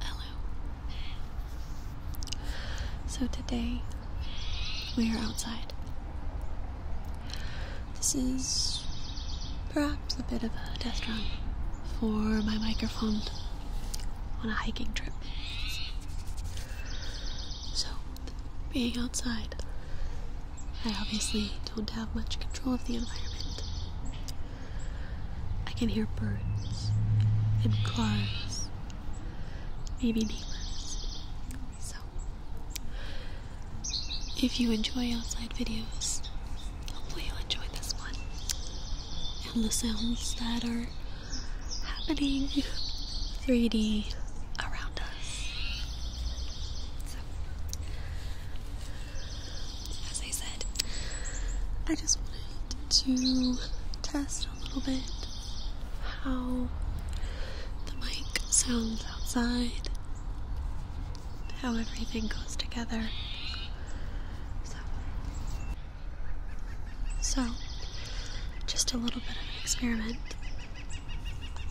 Hello. So today we are outside. This is perhaps a bit of a test run for my microphone on a hiking trip. So, being outside, I obviously don't have much control of the environment. I can hear birds and cars, maybe neighbors. So, if you enjoy outside videos, hopefully you'll enjoy this one and the sounds that are happening 3D around us. as I said, I just wanted to test a little bit how the mic sounds outside, how everything goes together. So, just a little bit of an experiment.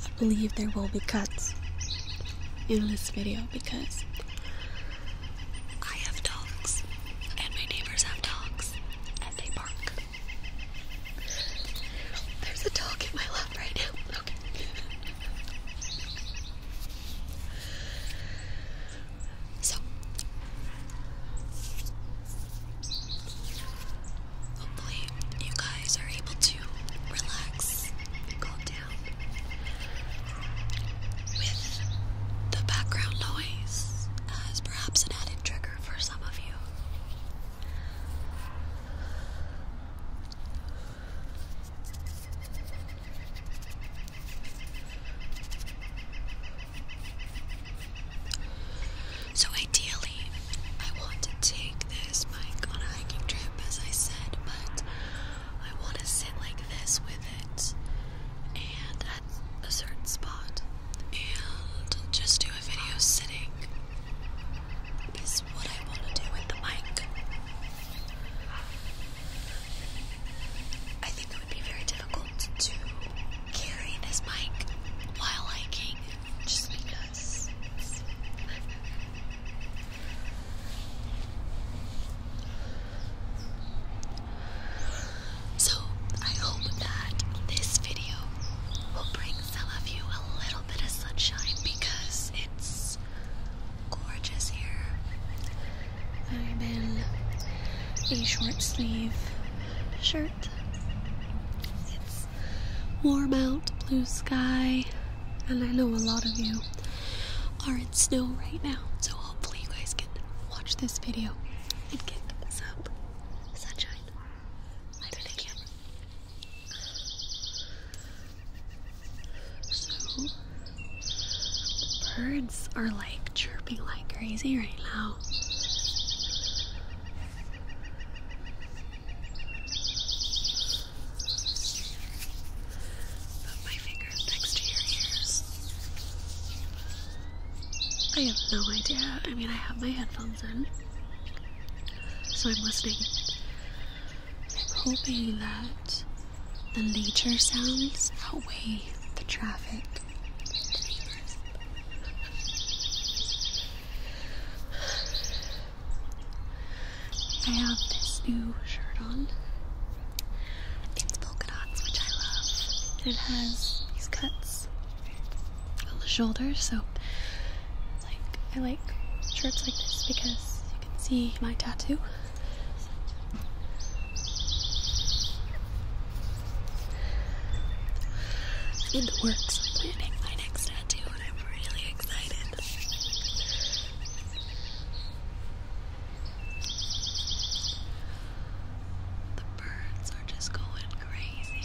I believe there will be cuts in this video because I have dogs and my neighbors have dogs and they bark. There's a dog in my lap right now. Okay. So hopefully you guys are able to relax, calm down with the background noise as perhaps an added trigger for some of you. So, ideally, I want to take this mic on a hiking trip, as I said, but I want to sit like this with it and at a certain spot and just do a video sitting, is what I want to do with the mic. I think it would be very difficult to carry this mic while hiking just because. So, I hope that this video will bring some of you a little bit of sunshine because it's gorgeous here. I'm in a short sleeve shirt. It's warm out, blue sky, and I know a lot of you are in snow right now, so hopefully you guys can watch this video and get some sunshine. Light the camera birds are like chirping like crazy right now. I have no idea. I mean, I have my headphones in, so I'm listening I'm hoping that the nature sounds outweigh the traffic. I have this new shirt on. It's polka dots, which I love. it has these cuts on the shoulders, so like I like shirts like this because you can see my tattoo. I'm in the planning my next tattoo and I'm really excited. The birds are just going crazy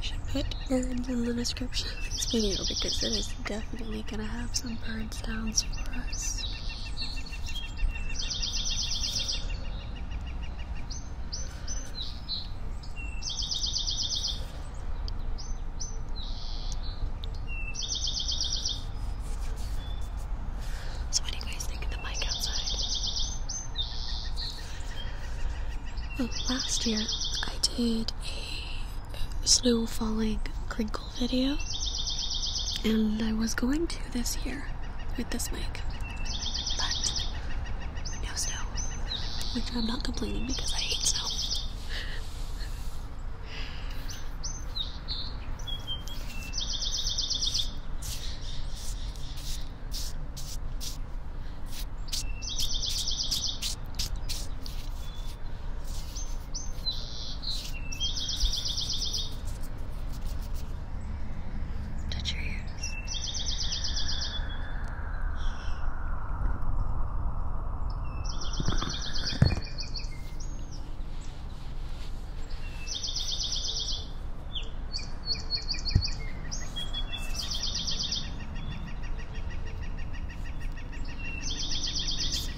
should put birds in the description of this video because it is definitely going to have some bird sounds for us. So, what do you guys think of the mic outside? last year I did a snow falling crinkle video, and I was going to this year with this mic, but no snow, I'm not complaining because I hate snow. Touch your ears.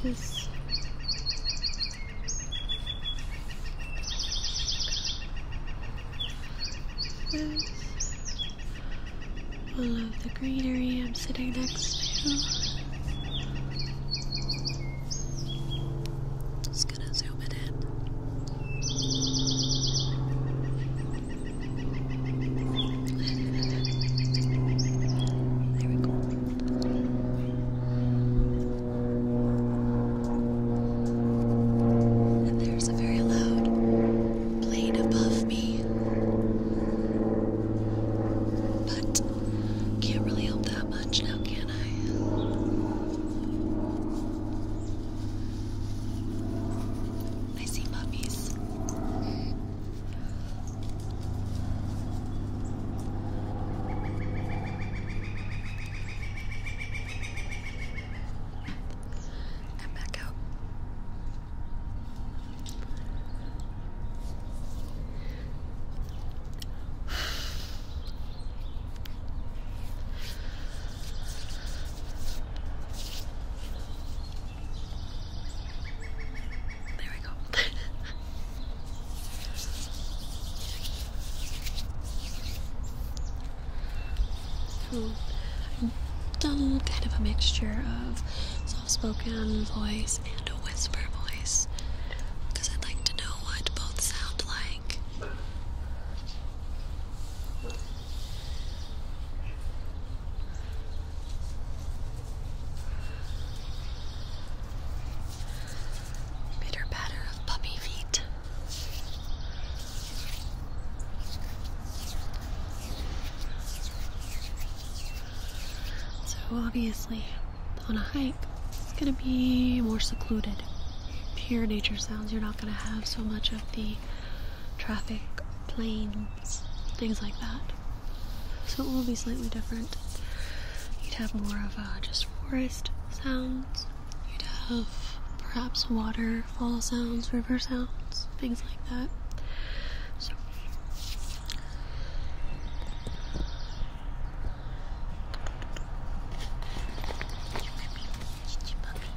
This is all the greenery I'm sitting next to. Just gonna zoom it in. There we go. And there's a very loud plane above me. But can't really help that much now, can I? I see puppies. And back out. There we go. hmm. I've done kind of a mixture of soft-spoken voice and a whisper voice because I'd like to know what both sound like. Bitter batter of puppy feet. So, obviously, on a hike, it's going to be more secluded. Pure nature sounds, you're not going to have so much of the traffic, planes, things like that. So it will be slightly different. You'd have more of uh, just forest sounds, you'd have perhaps waterfall sounds, river sounds, things like that. So. Chichi puppy.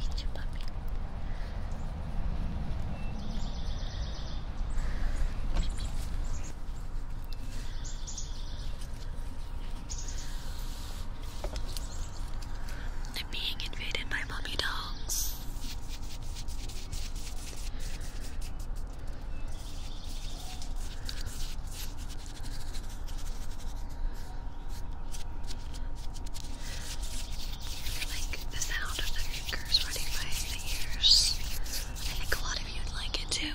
Chichi puppy. I'm being invaded by puppy dogs like the sound of the fingers running by the ears. I think a lot of you would like it too.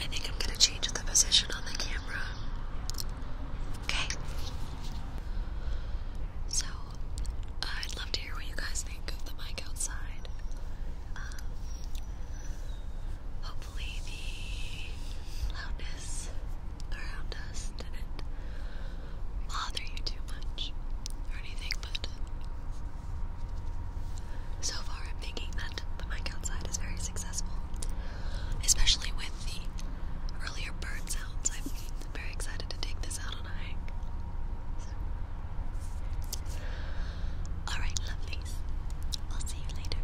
I think I'm going to change the position on the camera. Okay. So, I'd love to hear what you guys think of the mic outside. Um, hopefully, the loudness around us didn't bother you too much or anything, but so far I'm thinking that the mic outside is very successful, especially with the earlier bird sounds. I'm very excited to take this out on a hike. Alright, lovelies. I'll see you later.